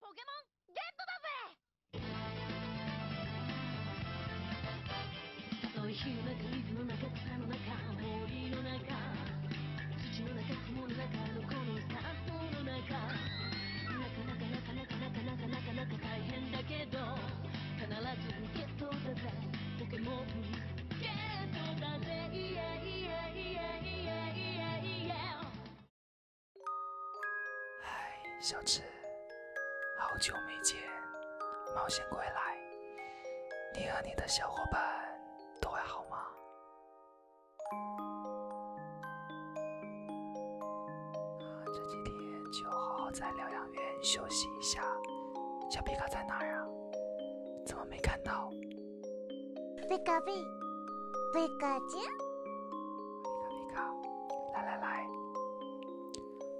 ポケモンゲットだぜ嗨，小智，好久没见，冒险归来，你和你的小伙伴都还好吗？这几天就好好在疗养院休息一下。小皮卡在哪儿呀？怎么没看到？皮卡皮，皮卡丘，皮卡皮卡，来来来，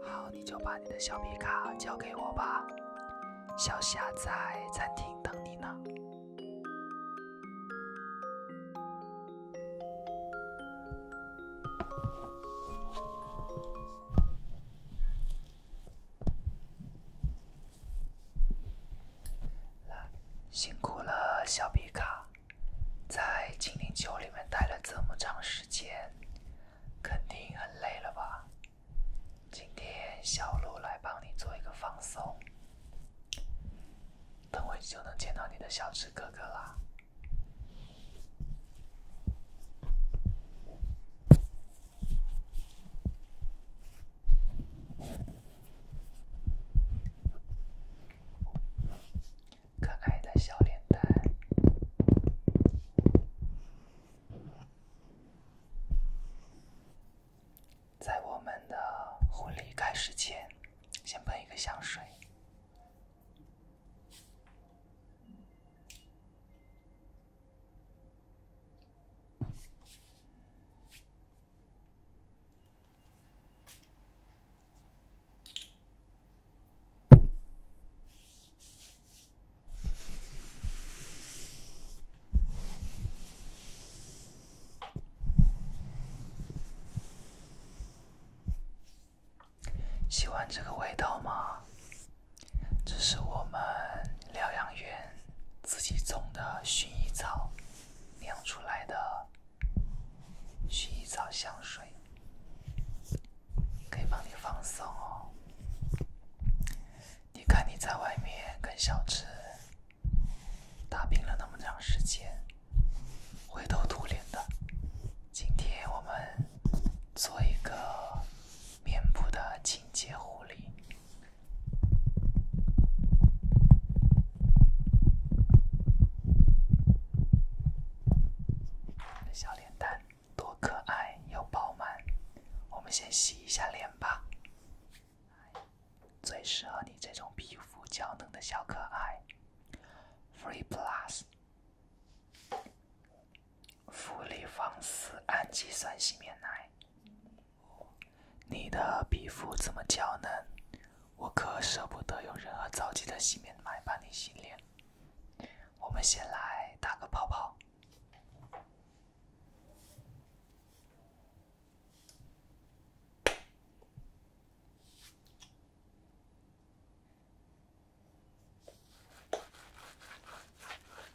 好，你就把你的小皮卡交给我吧，小霞在餐厅等你呢。辛苦了，小皮卡，在精灵球里面待了这么长时间，肯定很累了吧？今天小鹿来帮你做一个放松，等会就能见到你的小智哥哥啦。可爱的小脸蛋，在我们的婚礼开始前，先喷一个香水。喜欢这个味道吗？这是我们疗养院自己种的薰衣草，酿出来的薰衣草香水，可以帮你放松哦。你看你在外面跟小智打拼了那么长时间，灰头土脸的。今天我们做一个面部的清洁护理。小脸蛋多可爱又饱满，我们先洗一下脸吧，最适合你这种皮肤娇嫩的小可爱，Free Plus。芙丽芳丝氨基酸洗面奶，你的皮肤这么娇嫩，我可舍不得用任何皂基的洗面奶帮你洗脸。我们先来打个泡泡。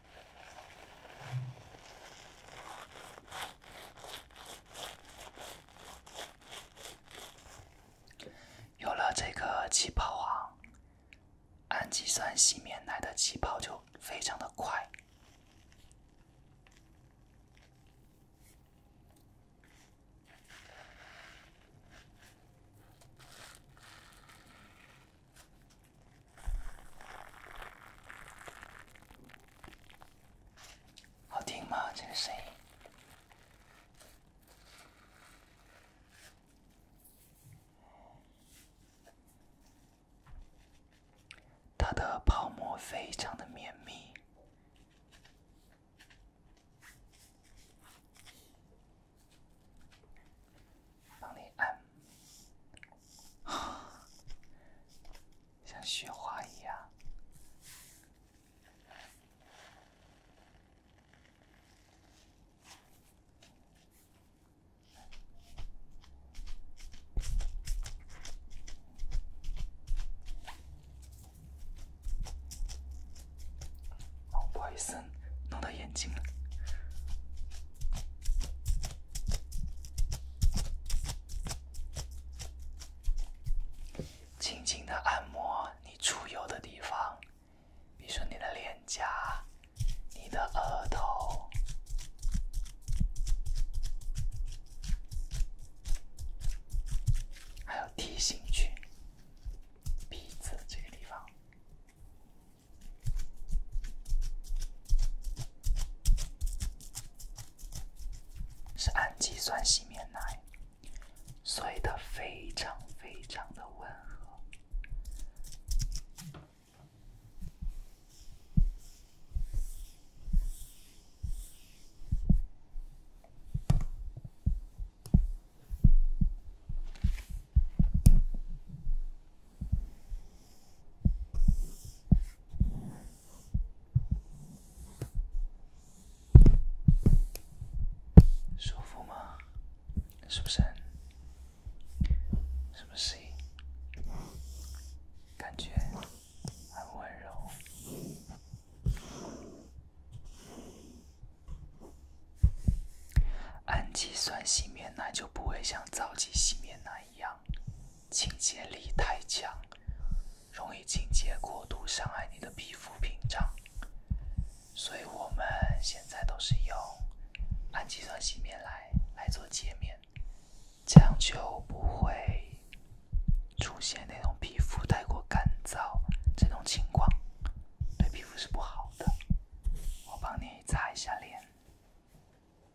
有了这个气泡啊，氨基酸洗面奶的气泡就非常的快。好听吗？这个声音，它的泡沫非常的绵密。帮你按，像雪花一样。不好意思，弄到眼睛了。轻轻的按摩你出油的地方，比如说你的脸颊、你的额头，还有 T 型区、鼻子这个地方。是氨基酸洗面奶，所以它非常非常的温和。舒服吗？是不是？是不是？感觉很温柔。氨基酸洗面奶就不会像皂基洗面奶。一样，清洁力太强，容易清洁过度，伤害你的皮肤屏障。所以我们现在都是用氨基酸洗面奶来做洁面，这样就不会出现那种皮肤太过干燥这种情况，对皮肤是不好的。我帮你擦一下脸。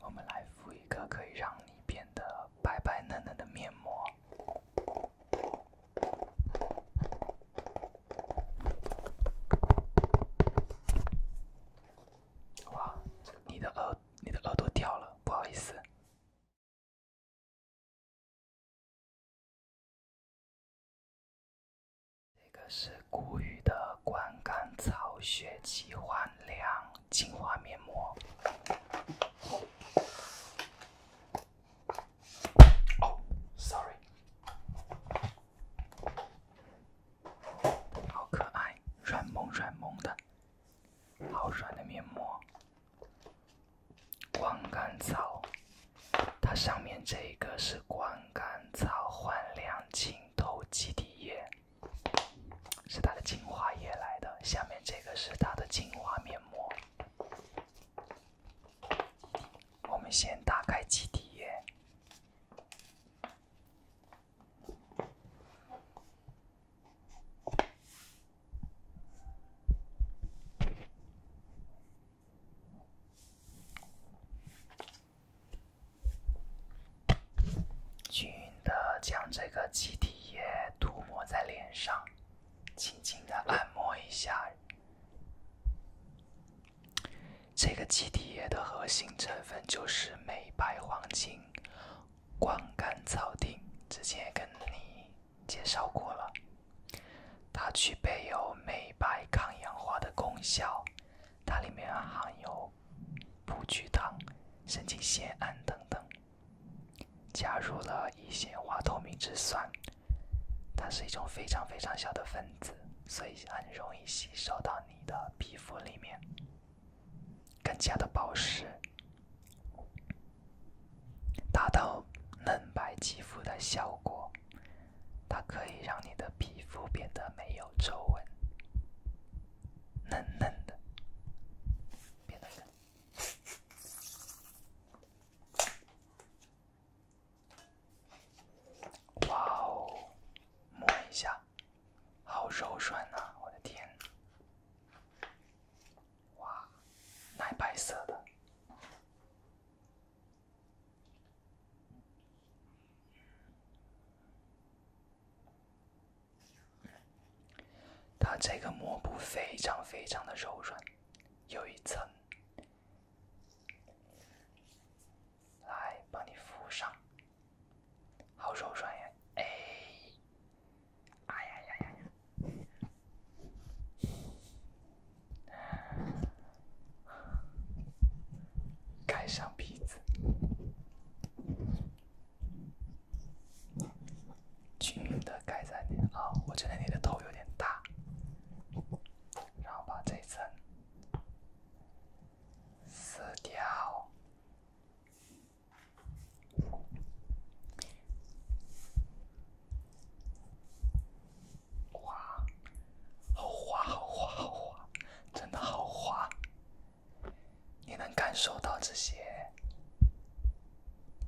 我们来敷一个可以让你变得白白嫩嫩的面膜。哇，你的耳你的耳朵掉了，不好意思。这个是谷雨的光甘草雪肌焕亮精华面膜。Oh, sorry. 好可爱，软萌软萌的，好软的面膜。光甘草，它上面这个是光甘草焕亮净透基底液，是它的精华液来的。下面这个是它的精华面膜。我们先打开肌底液，均匀的将这个肌底液涂抹在脸上，轻轻的按摩一下。这个肌底液的核心成分就是美白黄金光甘草定，之前也跟你介绍过了，它具备有美白抗氧化的功效，它里面含有葡聚糖、神经酰胺等等，加入了一些化透明质酸。它是一种非常非常小的分子，所以很容易吸收到你的皮肤里面，更加的保湿，达到嫩白肌肤的效果。它可以让你的皮肤变得没有皱纹，嫩嫩的，变得哇哦，摸一下，好柔软呐，我的天！哇，奶白色的，它这个膜布非常非常的柔软，有一层。来，帮你敷上。好柔软呀！哎，哎呀呀呀呀！盖上鼻子，均匀的盖在你。哦，我觉得你的头有点大，然后把这一层。撕掉！哇，好滑，好滑，好滑，真的好滑！你能感受到这些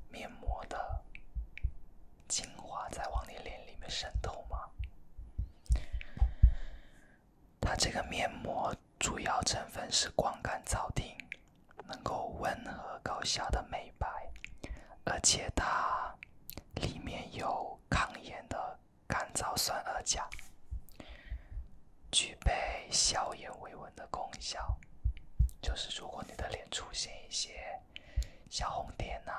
面膜的精华在往你脸里面渗透吗？它这个面膜主要成分是光甘草定，能够温和高效的美白，而且它里面有抗炎的甘草酸二钾，具备消炎维稳的功效。就是如果你的脸出现一些。小红点呐，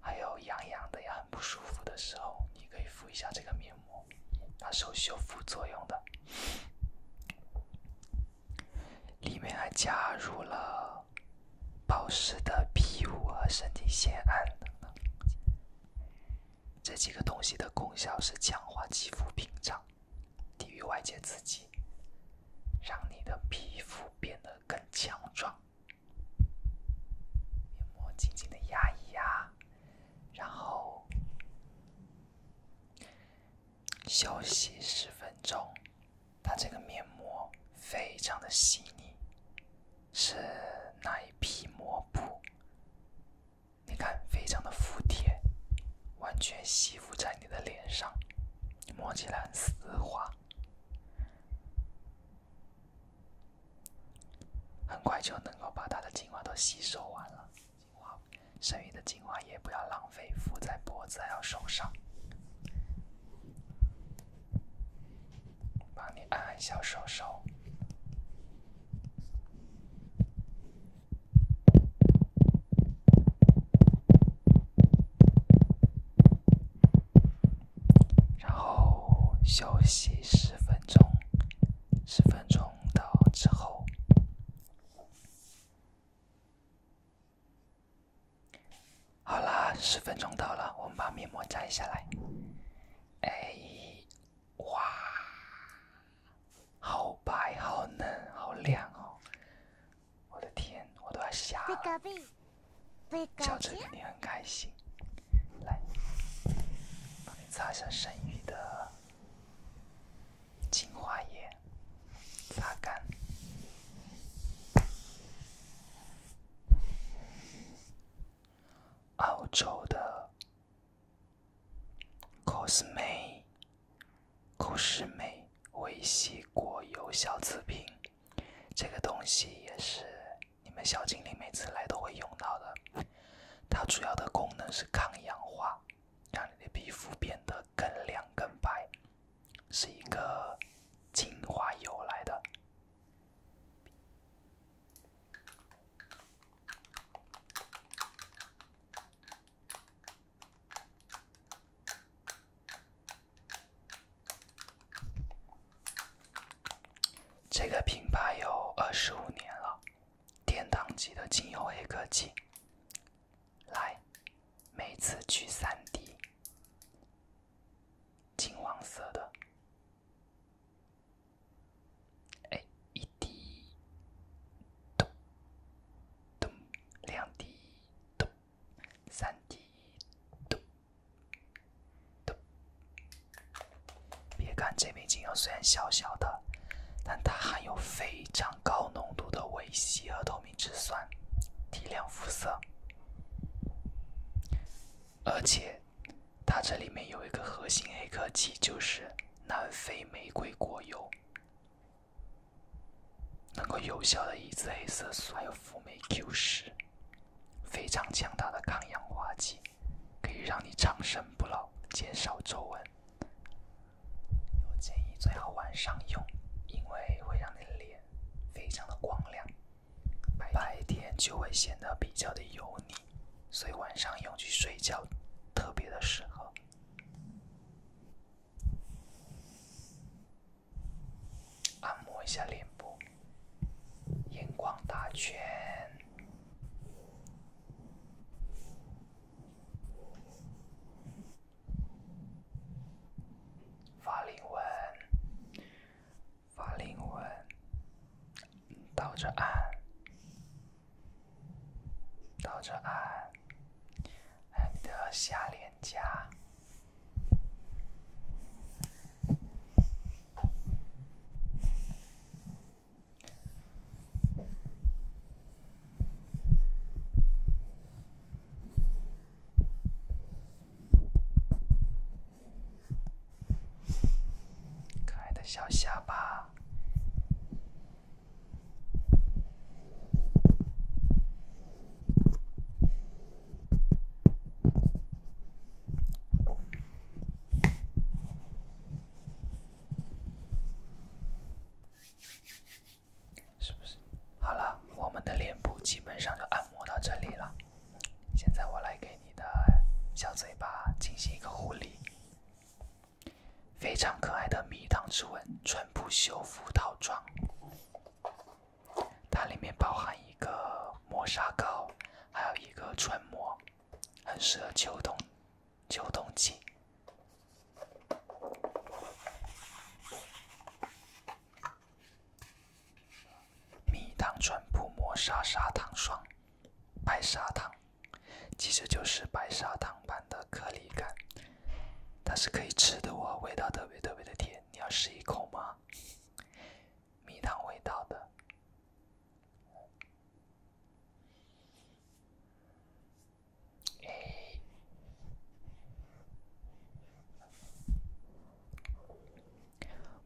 还有痒痒的呀，很不舒服的时候，你可以敷一下这个面膜，它是有修复作用的，里面还加入了保湿的 b 肤和身体酰胺等等，这几个东西的功效是强化肌肤屏障，抵御外界刺激，让你的皮肤变得更强壮。面膜紧紧的压一压，然后休息十分钟。它这个面膜非常的细腻，是奶皮膜布，你看非常的服帖，完全吸附在你的脸上，摸起来很丝滑。很快就能够把它的精华都吸收完了，精华，剩余的精华也不要浪费，敷在脖子还有手上。帮你按按小手手。然后休息十分钟，十分钟到之后，好啦，十分钟到了，我们把面膜摘下来。哎，哇，好白，好嫩，好亮哦！我的天，我都要瞎了。小陈肯定很开心，来，帮你擦下剩余的精华液，擦干。澳洲的 Cosme Cosme 微细果油小瓷瓶。这个东西也是你们小精灵每次来都会用到的，它主要的功能是抗氧化，让你的皮肤变得更亮更白，是一个精华油来的。这个品牌有二十五年了，殿堂级的精油黑科技。来，每次取三滴，金黄色的。哎，一滴，咚，咚，两滴，咚。三滴，嘟嘟。别看这瓶精油虽然小小的，但它含有非常高浓度的维 C 和透明质酸，提亮肤色。而且，它这里面有一个核心黑科技，就是南非玫瑰果油，能够有效的抑制黑色素，还有辅酶 Q 十。非常强大的抗氧化剂，可以让你长生不老，减少皱纹。我建议最好晚上用，因为会让你的脸非常的光亮，白天就会显得比较的油腻，所以晚上用去睡觉特别的适合。按摩一下脸部，眼眶打圈，法令纹，法令纹，倒着按，倒着按，按的下脸颊。可爱的小下巴。是不是？好了，我们的脸部基本上就按摩到这里了。现在我来给你的小嘴巴进行一个护理，非常可爱的蜜糖之吻唇部修复套装。它里面包含一个磨砂膏，还有一个唇膜，很适合秋冬、秋冬季。蜜糖唇部磨砂砂糖霜，白砂糖，其实就是白砂糖般的颗粒感，它是可以吃的哦，味道特别特别的甜。你要试一口吗？蜜糖味道的。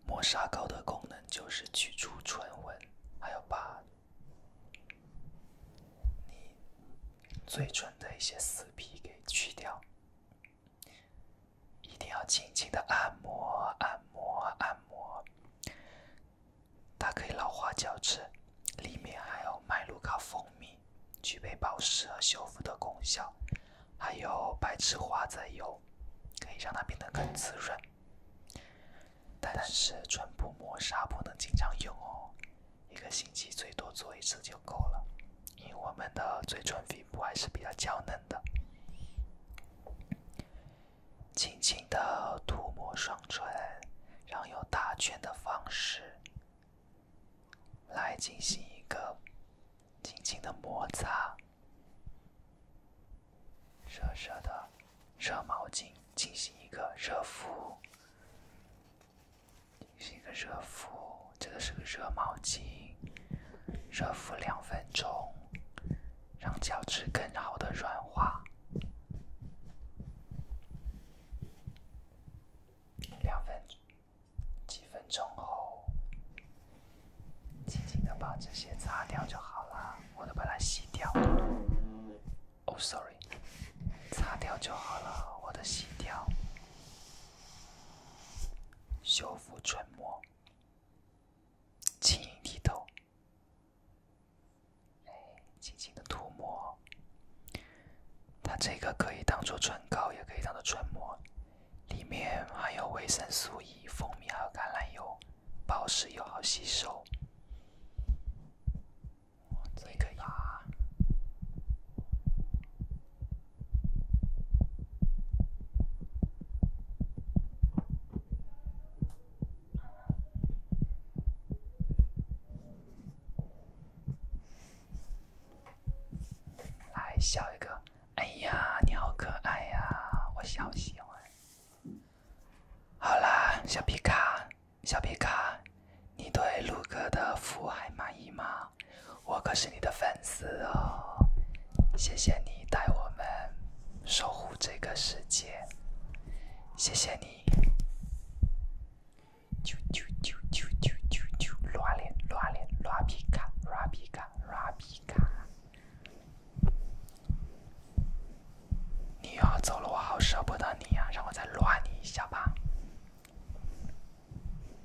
磨砂膏的功能就是去除唇纹，还有把你嘴唇的一些死皮给去掉。一定要轻轻的按摩，按摩，按摩，它可以老化角质，里面还有麦卢卡蜂蜜，具备保湿和修复的功效，还有白池花籽油，可以让它变得更滋润。但是唇部磨砂不能经常用哦，一个星期最多做一次就够了。因为我们的嘴唇皮肤还是比较娇嫩的，轻轻的涂抹双唇，然后用打圈的方式来进行一个轻轻的摩擦。热热的热毛巾进行一个热敷，进行一个热敷。这个是个热毛巾，热敷两分钟，让角质更好的软化。两分，几分钟后，轻轻的把这些擦掉就好了，我都把它洗掉。哦，sorry，擦掉就好了，我的洗掉。修复唇膜。晶莹剔透，轻轻的涂抹，它这个可以当做唇膏，也可以当做唇膜，里面含有维生素 E、蜂蜜还有橄榄油，保湿又好吸收，这个呀。来笑一个！哎呀，你好可爱呀，我好喜欢。好啦，小皮卡，小皮卡，你对鹿哥的服务还满意吗？我可是你的粉丝哦，谢谢你带我们守护这个世界，谢谢你。啾啾啾啾啾啾！啾，乱脸乱脸乱皮卡乱皮卡乱皮卡！你要走了，我好舍不得你呀，让我再乱你一下吧。